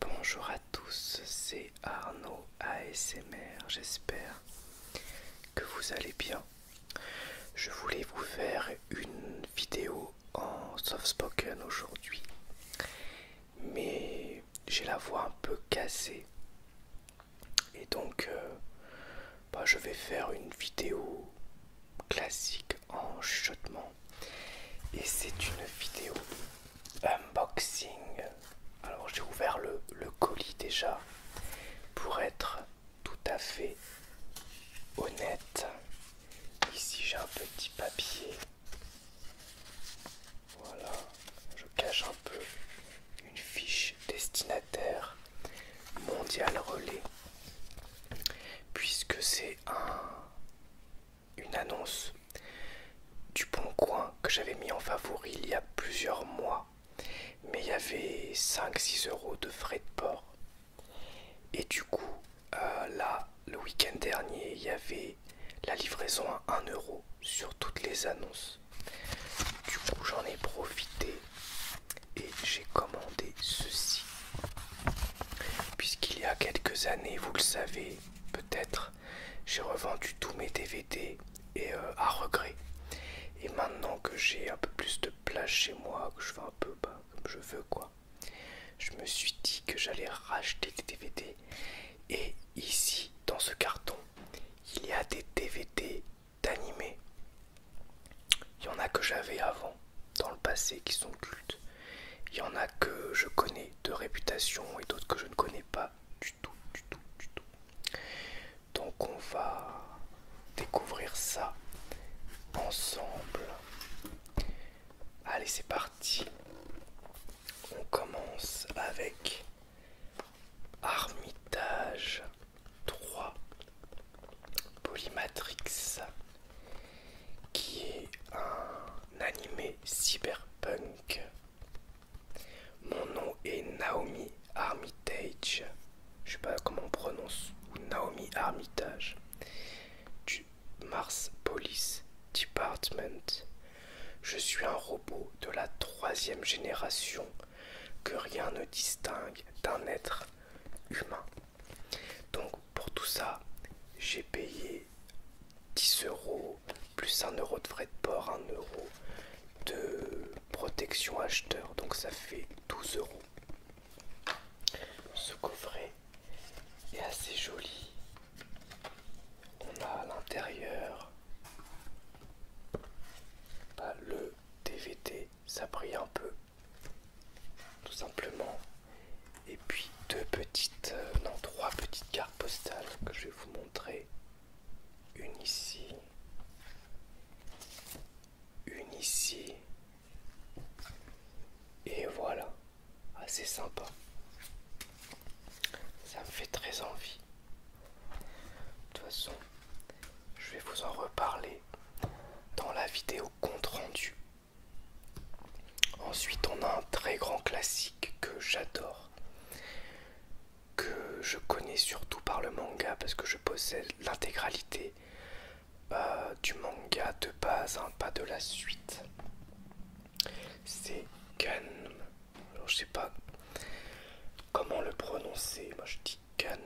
Bonjour à tous, c'est Arnaud ASMR, j'espère que vous allez bien. Je voulais vous faire une vidéo en soft spoken aujourd'hui, mais j'ai la voix un peu cassée et donc, euh, bah, je vais faire une vidéo classique en chuchotement. Et c'est une vidéo unboxing. Alors, j'ai ouvert le colis déjà pour être tout à fait honnête. Ici, j'ai un petit papier voilà, je cache un peu une fiche destinataire mondial relais, puisque c'est un, une annonce du Bon Coin que j'avais mis en favori il y a plusieurs mois, mais il y avait 5-6 euros de frais de port. Et du coup, euh, là, le week-end dernier, il y avait la livraison à 1 euro sur toutes les annonces. Du coup, j'en ai profité et j'ai commandé ceci. Puisqu'il y a quelques années, vous le savez peut-être, j'ai revendu tous mes DVD et euh, à regret. Et maintenant que j'ai un peu plus de place chez moi, que je fais un peu bas, comme je veux quoi, je me suis dit que j'allais racheter des DVD et ici, dans ce carton, il y a des DVD d'animés. Il y en a que j'avais avant, dans le passé, qui sont cultes. Il y en a que je connais de réputation et d'autres que je ne connais pas du tout, du tout, du tout. Donc on va découvrir ça ensemble. Allez, c'est parti. On commence avec Armitage 3 Polymatrix qui est un animé cyberpunk. Mon nom est Naomi Armitage. Je sais pas comment on prononce. Naomi Armitage. Du Mars Police Department je suis un robot de la troisième génération que rien ne distingue d'un être humain. Donc pour tout ça, j'ai payé 10 euros plus 1 euro de frais de port, 1 euro de protection acheteur. Donc ça fait 12 euros. Ce coffret est assez joli. On a à l'intérieur bah, le DVT, ça brille un peu tout simplement et puis deux petites euh, non trois petites cartes postales que je vais vous montrer une ici une ici et voilà assez sympa ça me fait très envie. De toute façon, je vais vous en reparler dans la vidéo compte rendu. Ensuite, on a un très grand classique que j'adore, que je connais surtout par le manga parce que je possède l'intégralité euh, du manga de base, hein, pas de la suite. C'est Gun alors je sais pas comment le prononcer. Moi je dis Kan.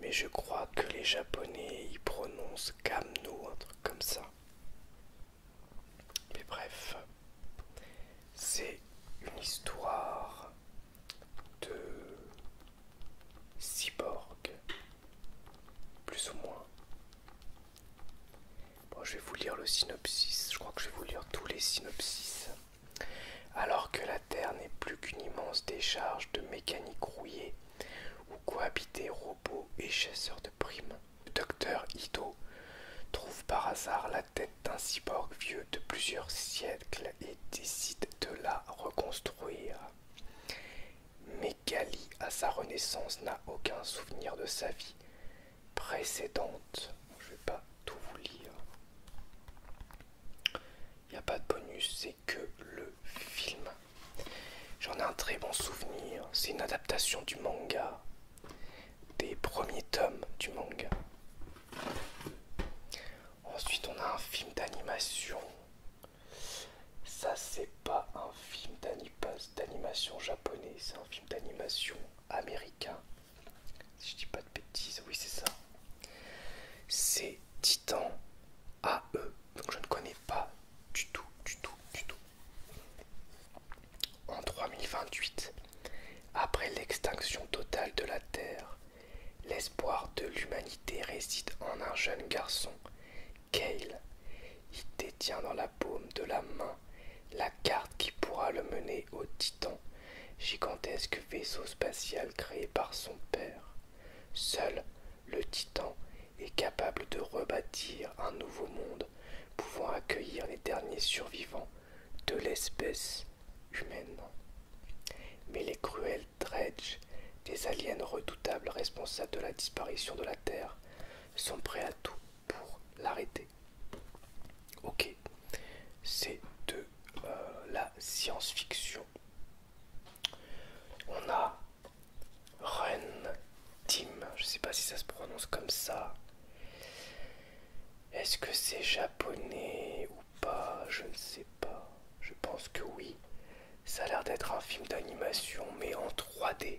Mais je crois que les japonais y prononcent Kamno, un truc comme ça. Mais bref, c'est une histoire de cyborg, plus ou moins je vais vous lire le synopsis. Je crois que je vais vous lire tous les synopsis. Alors que la Terre n'est plus qu'une immense décharge de mécaniques rouillées où cohabitaient robots et chasseurs de primes, le docteur Ito trouve par hasard la tête d'un cyborg vieux de plusieurs siècles et décide de la reconstruire. Mais Kali, à sa renaissance, n'a aucun souvenir de sa vie, précédente. Je vais pas tout vous lire. Il n'y a pas de bonus, c'est que le film. J'en ai un très bon souvenir. C'est une adaptation du manga, des premiers tomes du manga. Ensuite, on a un film d'animation. Ça, c'est pas un film d'animation japonais, c'est un film d'animation américain. Si je dis pas de bêtises, oui c'est ça. C'est Titan AE. Donc je ne connais pas du tout, du tout, du tout. En 3028, après l'extinction totale de la Terre, l'espoir de l'humanité réside en un jeune garçon, Kale. Il détient dans la la de la main la carte qui pourra le mener au Titan, gigantesque vaisseau spatial créé par son père. Seul le Titan est capable de rebâtir un nouveau monde pouvant accueillir les derniers survivants de l'espèce humaine. Mais les cruels Dredge, des aliens redoutables responsables de la disparition de la Terre, sont prêts à tout pour l'arrêter. Ok, c'est de euh, la science-fiction. On a Ren Tim, je sais pas si ça se prononce comme ça. Est-ce que c'est japonais ou pas Je ne sais pas. Je pense que oui. Ça a l'air d'être un film d'animation, mais en 3D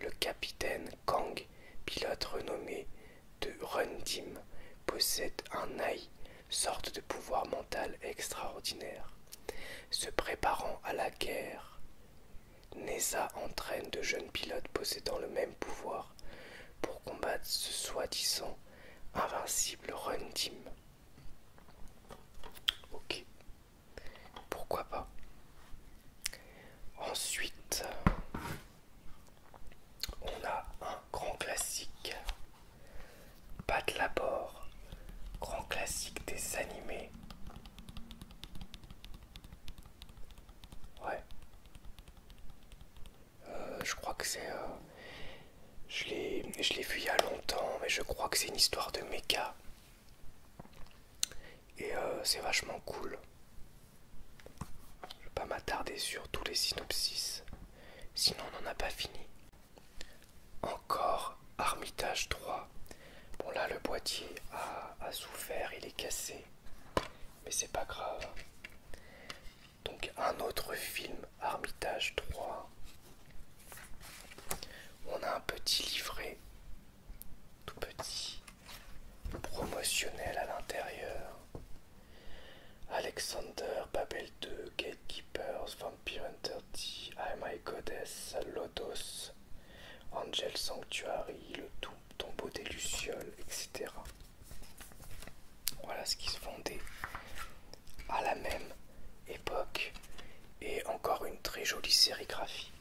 le capitaine Kang, pilote renommé de Run Team, possède un AI, sorte de pouvoir mental extraordinaire. Se préparant à la guerre, Neza entraîne de jeunes pilotes possédant le même pouvoir pour combattre ce soi-disant invincible Run Team. Ok, pourquoi pas. Ensuite, on a un grand classique, pas de labor, grand classique des animés. Ouais. Euh, je crois que c'est... Euh, je l'ai vu il y a longtemps, mais je crois que c'est une histoire de méca. Et euh, c'est vachement cool. Je ne vais pas m'attarder sur tous les synopsis, sinon on n'en a pas fini. Encore Armitage 3. Bon là le boîtier a, a souffert, il est cassé. Mais c'est pas grave. Donc un autre film Armitage 3. On a un petit livret tout petit, promotionnel à l'intérieur. Alexander, Babel 2, Gatekeepers, Vampire Hunter D, I oh My Goddess, Lotus Angel Sanctuary, le tombeau des Lucioles, etc. Voilà ce qui se fondait à la même époque et encore une très jolie sérigraphie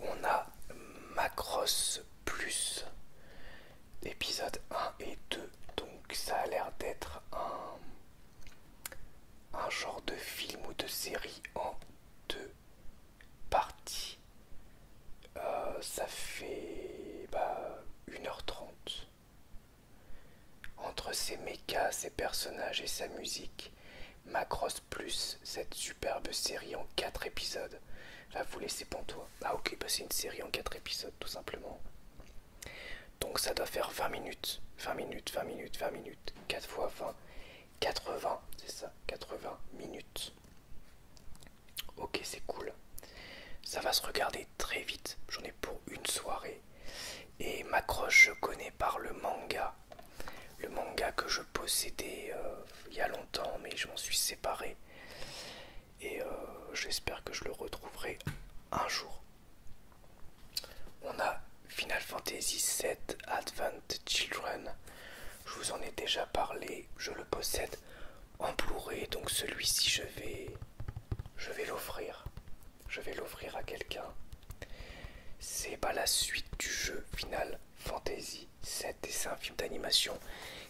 on a Macross Plus, épisode 1 et 2. Donc ça a l'air d'être un, genre de film ou de série en deux parties. Euh, ça fait 1h30. Bah, Entre ses mechas, ses personnages et sa musique, Macross plus, cette superbe série en 4 épisodes. Va vous laisser toi Ah ok, bah c'est une série en 4 épisodes tout simplement. Donc ça doit faire 20 minutes. 20 minutes, 20 minutes, 20 minutes. 4 fois 20. 80, c'est ça, 80 minutes. Ok, c'est cool. Ça va se regarder très vite. J'en ai pour une soirée. Et ma croche je connais par le manga. Le manga que je possédé euh, il y a longtemps, mais je m'en suis séparé. Et euh, j'espère que je le retrouverai un jour. On a Final Fantasy VII Advent Children. Je vous en ai déjà parlé. Je le possède en blu donc celui-ci je vais, je vais l'offrir. Je vais l'offrir à quelqu'un c'est pas la suite du jeu Final Fantasy 7 et c'est un film d'animation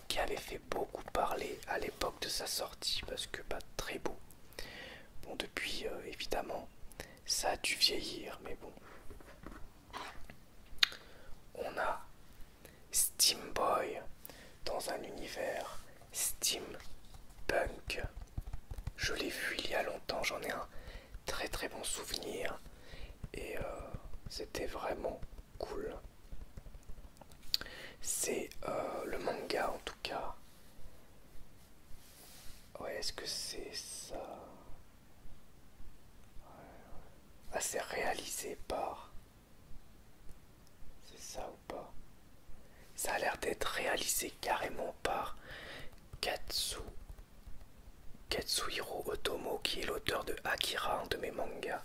qui avait fait beaucoup parler à l'époque de sa sortie parce que pas très beau. Bon depuis euh, évidemment ça a dû vieillir mais bon. On a Steamboy dans un univers steampunk. Je l'ai vu il y a longtemps, j'en ai un très très bon souvenir et euh, c'était vraiment cool. C'est euh, le manga en tout cas. Ouais, est-ce que c'est ça ah, c'est réalisé par. C'est ça ou pas Ça a l'air d'être réalisé carrément par Katsu Katsuhiro Otomo, qui est l'auteur de Akira, un de mes mangas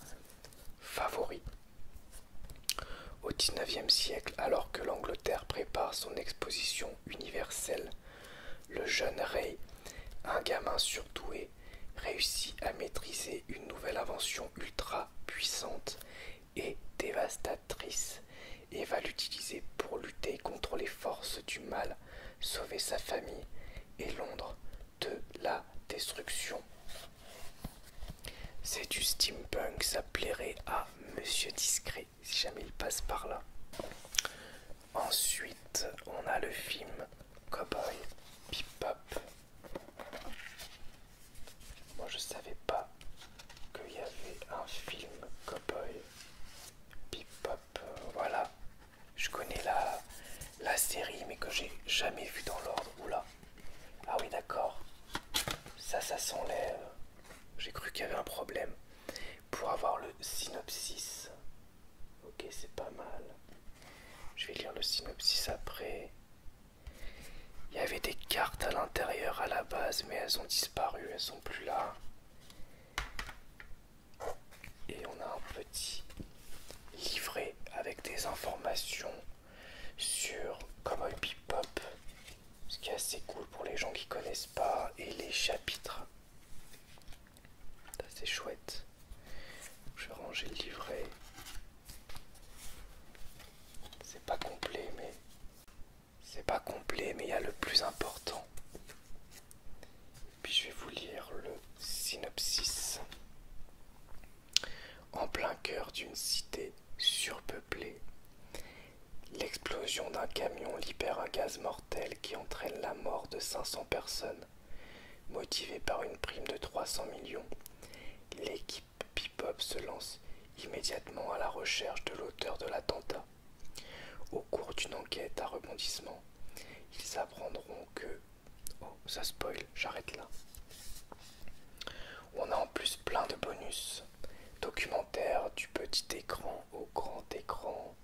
favoris. Au 19 siècle, alors que l'Angleterre prépare son exposition universelle, le jeune Ray, un gamin surdoué, réussit à maîtriser une nouvelle invention ultra puissante et dévastatrice et va l'utiliser pour lutter contre les forces du mal, sauver sa famille et Londres de la destruction. C'est du steampunk, ça plairait à Monsieur Discret si jamais il passe par là. Ensuite, on a le film Cowboy Bebop. Moi, je savais pas qu'il y avait un film Cowboy Bip euh, voilà. Je connais la, la série, mais que j'ai jamais vu dans l'ordre. Oula. Ah oui, d'accord. Ça, ça s'enlève. Euh, j'ai cru qu'il y avait un problème. Pour avoir le synopsis. Ok, c'est pas mal. Je vais lire le synopsis après. Il y avait des cartes à l'intérieur à la base, mais elles ont disparu, elles sont plus là. Et on a un petit livret avec des informations sur Cowboy Bebop, ce qui est assez cool pour les gens qui connaissent pas, et les chapitres. C'est chouette. Je vais ranger le livret. C'est pas complet, mais c'est pas complet, mais il y a le plus important. Puis je vais vous lire le synopsis. En plein cœur d'une cité surpeuplée, l'explosion d'un camion libère un gaz mortel qui entraîne la mort de 500 personnes. Motivé par une prime de 300 millions, l'équipe Bebop se lance immédiatement à la recherche de l'auteur de l'attentat. Au cours d'une enquête à rebondissement, ils apprendront que... Oh, ça spoil, j'arrête là. On a en plus plein de bonus. Documentaire du petit écran au grand écran.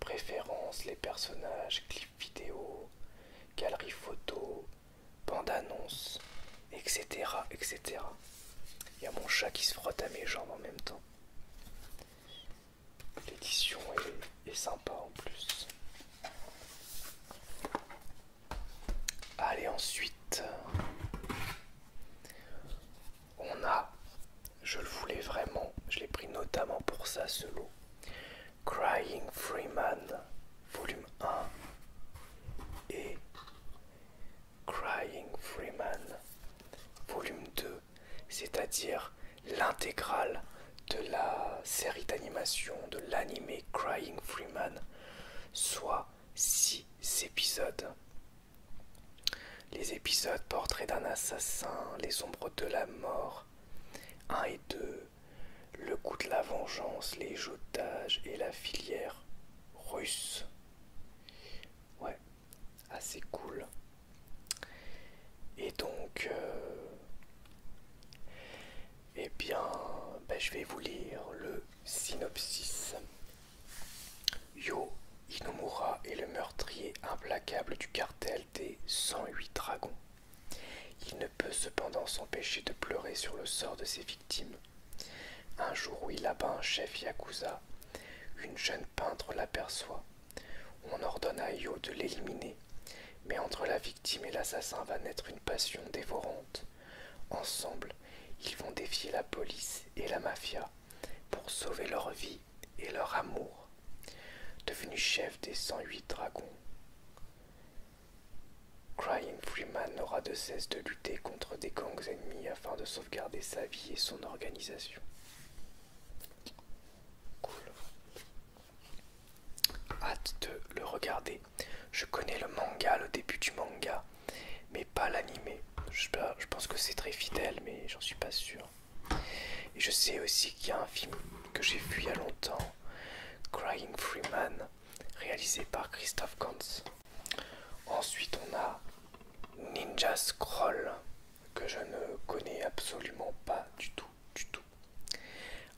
Préférences, les personnages, clips vidéo, galerie photos, bande annonces, etc., etc. Il y a mon chat qui se frotte à mes jambes en même temps. L'édition est, sympa en plus. Allez, ensuite, on a, je le voulais vraiment, je l'ai pris notamment pour ça ce lot, Crying Freeman, volume 1 et Crying Freeman, volume 2, c'est-à-dire l'intégrale de la série d'animation de l'animé Crying Freeman, soit six épisodes. Les épisodes Portrait d'un assassin, Les ombres de la mort, 1 et 2, Le coup de la vengeance, Les jetages et la filière russe. Ouais, assez cool. Et donc, et euh, eh bien, ben, je vais vous lire le synopsis. Yo Inomura est le meurtrier implacable du cartel des 108 dragons. Il ne peut cependant s'empêcher de pleurer sur le sort de ses victimes un jour où il abat un chef yakuza, une jeune peintre l'aperçoit. On ordonne à Yo de l'éliminer, mais entre la victime et l'assassin va naître une passion dévorante. Ensemble, ils vont défier la police et la mafia pour sauver leur vie et leur amour. Devenu chef des 108 dragons, Crying Freeman n'aura de cesse de lutter contre des gangs ennemis afin de sauvegarder sa vie et son organisation. Cool. Hâte de le regarder. Je connais le manga, le début du manga, mais pas l'animé. Je, pense que c'est très fidèle, mais j'en suis pas sûr. Et je sais aussi qu'il y a un film que j'ai vu il y a longtemps, Crying Freeman, réalisé par Christophe Gantz. Ensuite, on a Ninja Scroll, que je ne connais absolument pas du tout, du tout.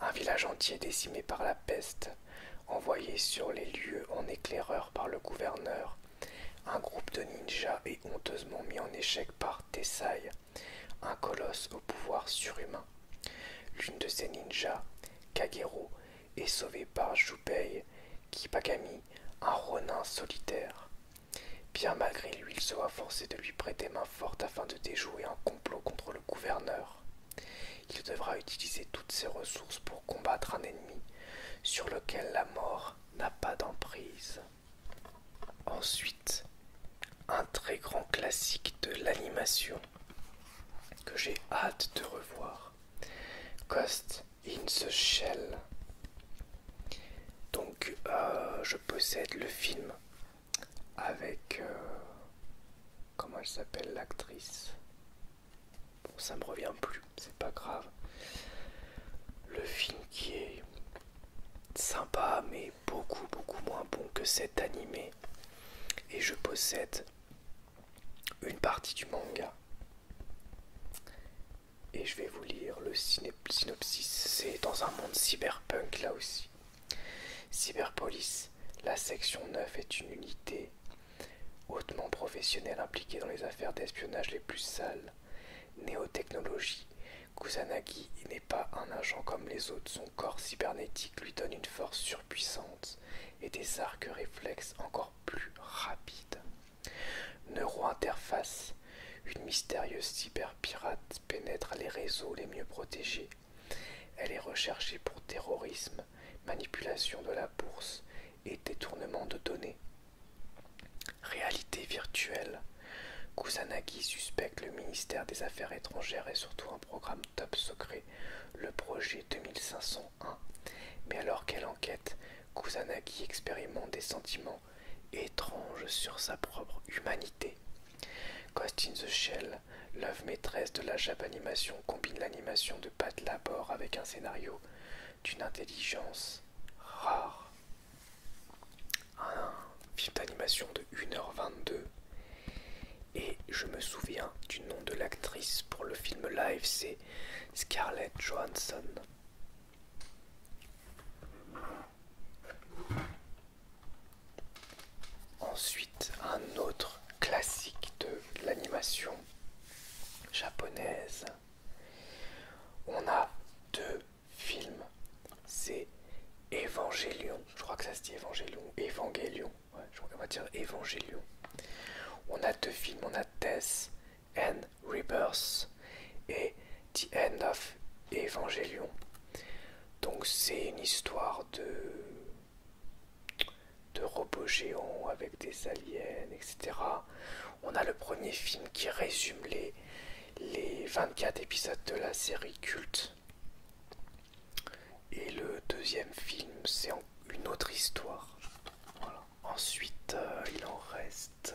Un village entier décimé par la peste, envoyé sur les lieux en éclaireur par le gouverneur. Un groupe de ninjas est honteusement mis en échec par Tessai, un colosse au pouvoir surhumain. L'une de ces ninjas, Kagero, est sauvée par qui un ronin solitaire. Bien malgré lui, il sera forcé de lui prêter main forte afin de déjouer un complot contre le gouverneur. Il devra utiliser toutes ses ressources pour combattre un ennemi sur lequel la mort n'a pas d'emprise. Ensuite, un très grand classique de l'animation que j'ai hâte de revoir. Cost in the shell. Donc, euh, je possède le film avec. Euh, comment elle s'appelle l'actrice Bon, ça me revient plus, c'est pas grave. Le film qui est sympa, mais beaucoup, beaucoup moins bon que cet animé. Et je possède une partie du manga. Et je vais vous lire le synopsis. C'est dans un monde cyberpunk là aussi. Cyberpolice, la section 9 est une unité hautement professionnelle impliquée dans les affaires d'espionnage les plus sales. Néotechnologie, Kusanagi n'est pas un agent comme les autres. Son corps cybernétique lui donne une force surpuissante et des arcs réflexes encore plus rapide. Neurointerface, une mystérieuse cyberpirate pénètre les réseaux les mieux protégés. Elle est recherchée pour terrorisme, manipulation de la bourse et détournement de données. Réalité virtuelle. Kusanagi suspecte le ministère des Affaires étrangères et surtout un programme top secret, le projet 2500 mais alors qu'elle enquête, Kusanagi expérimente des sentiments étranges sur sa propre humanité. Ghost the Shell, l'œuvre maîtresse de la animation, combine l'animation de Pat Labor avec un scénario d'une intelligence rare. Un film d'animation de 1h22. Et je me souviens du nom de l'actrice pour le film live, c'est Scarlett Johansson. Ensuite, un autre classique de l'animation japonaise. On a deux films. C'est Evangelion. Je crois que ça se dit Evangelion. Evangelion on dire On a deux films, on a Death and Rebirth et The End of Evangelion. Donc c'est une histoire de, de robots géants avec des aliens, etc. On a le premier film qui résume les, les 24 épisodes de la série culte. Et le deuxième film, c'est encore une autre histoire. Ensuite, euh, il en reste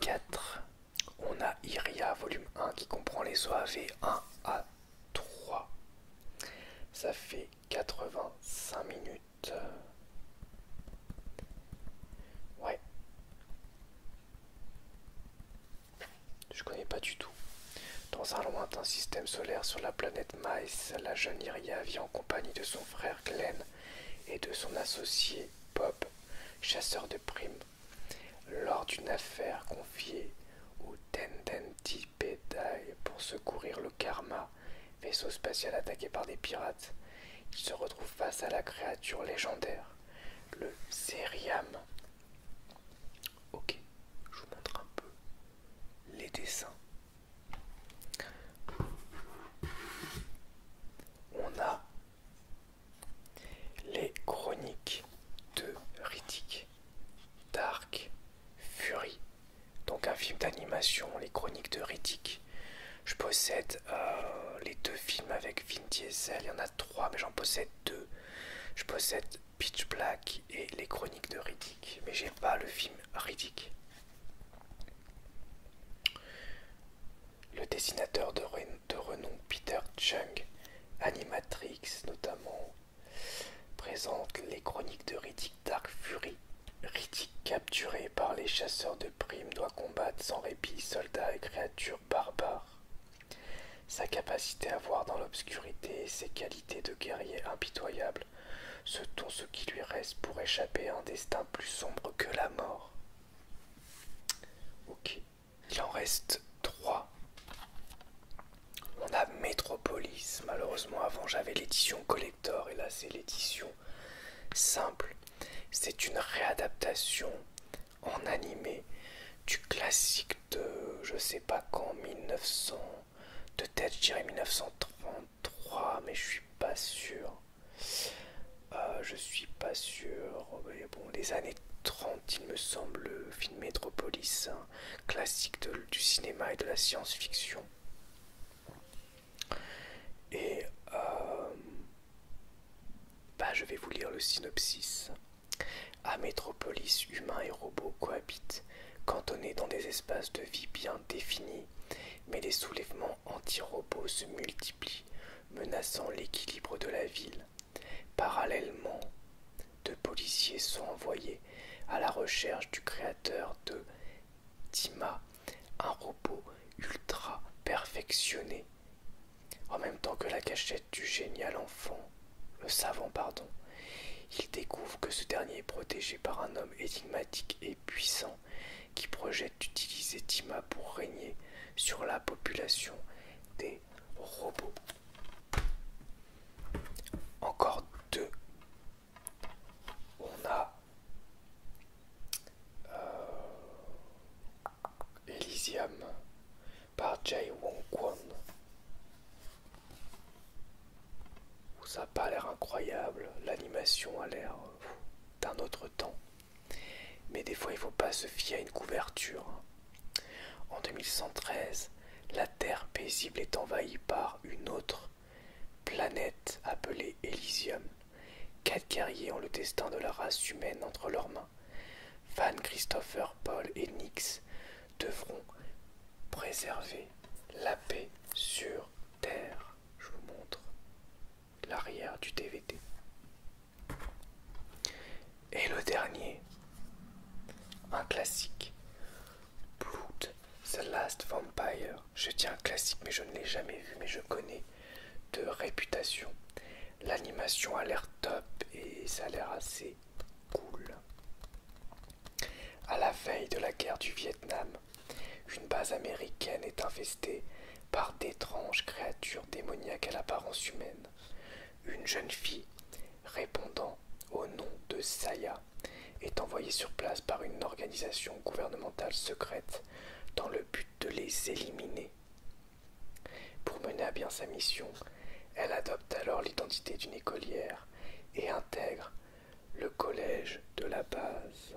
4. Euh, On a Iria volume 1 qui comprend les OAV 1 à 3. Ça fait 85 minutes. Ouais. Je connais pas du tout. Dans un lointain système solaire sur la planète la jeune Iria vit en compagnie de son frère Glenn et de son associé Bob, chasseur de primes, lors d'une affaire confiée au Tendenti Pedai pour secourir le Karma, vaisseau spatial attaqué par des pirates. Il se retrouve face à la créature légendaire, le Seriam. Ok, je vous montre un peu les dessins on a les chroniques de Riddick, Dark, Fury, donc un film d'animation, les chroniques de Riddick. Je possède euh, les deux films avec Vin Diesel, il y en a trois, mais j'en possède deux. Je possède Pitch Black et les chroniques de Riddick, mais j'ai pas le film Riddick. Le dessinateur de, renom Peter Chung, Animatrix notamment, présente les chroniques de Riddick Dark Fury. Riddick, capturé par les chasseurs de primes, doit combattre sans répit soldats et créatures barbares. Sa capacité à voir dans l'obscurité et ses qualités de guerrier impitoyable ce dont ce qui lui reste pour échapper à un destin plus sombre que la mort. Ok. Il en reste trois. On a Metropolis. Malheureusement, avant j'avais l'édition collector et là c'est l'édition simple. C'est une réadaptation en animé du classique de je sais pas quand 1900 de tête, je dirais 1933, mais je suis pas sûr. Euh, je suis pas sûr. bon, les années 30, il me semble, film métropolis hein, classique du cinéma et de la science-fiction. Et euh, bah, je vais vous lire le synopsis. À Métropolis, humains et robots cohabitent cantonnés dans des espaces de vie bien définis, mais les soulèvements anti-robots se multiplient, menaçant l'équilibre de la ville. Parallèlement, deux policiers sont envoyés à la recherche du créateur de Tima, un robot ultra perfectionné. En même temps que la cachette du génial enfant le savant pardon, il découvre que ce dernier est protégé par un homme énigmatique et puissant qui projette d'utiliser Tima pour régner sur la population des robots. Encore deux. On a euh, Elysium par Jai Wong Kwan. Ça n'a pas l'air incroyable, l'animation a l'air d'un autre temps. Mais des fois, il ne faut pas se fier à une couverture. Hein. En 2113, la Terre paisible est envahie par une autre planète appelée Elysium. Quatre guerriers ont le destin de la race humaine entre leurs mains. Van Christopher, Paul et Nix devront préserver la paix sur Terre. Je vous montre l'arrière du DVD. Et le dernier, un classique, Blood, The Last Vampire. Je tiens un classique, mais je ne l'ai jamais vu, mais je connais de réputation. L'animation a l'air top et ça a l'air assez cool. À la veille de la guerre du Vietnam, une base américaine est infestée par d'étranges créatures démoniaques à l'apparence humaine. Une jeune fille, répondant au nom de Saya, est envoyée sur place par une organisation gouvernementale secrète dans le but de les éliminer. Pour mener à bien sa mission, elle adopte alors l'identité d'une écolière et intègre le collège de la base.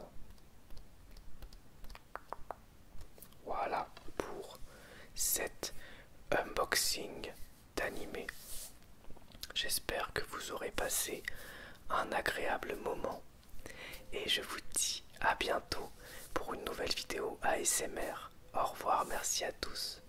Voilà pour cet unboxing d'animé. J'espère que vous aurez passé un agréable moment et je vous dis à bientôt pour une nouvelle vidéo ASMR. Au revoir, merci à tous.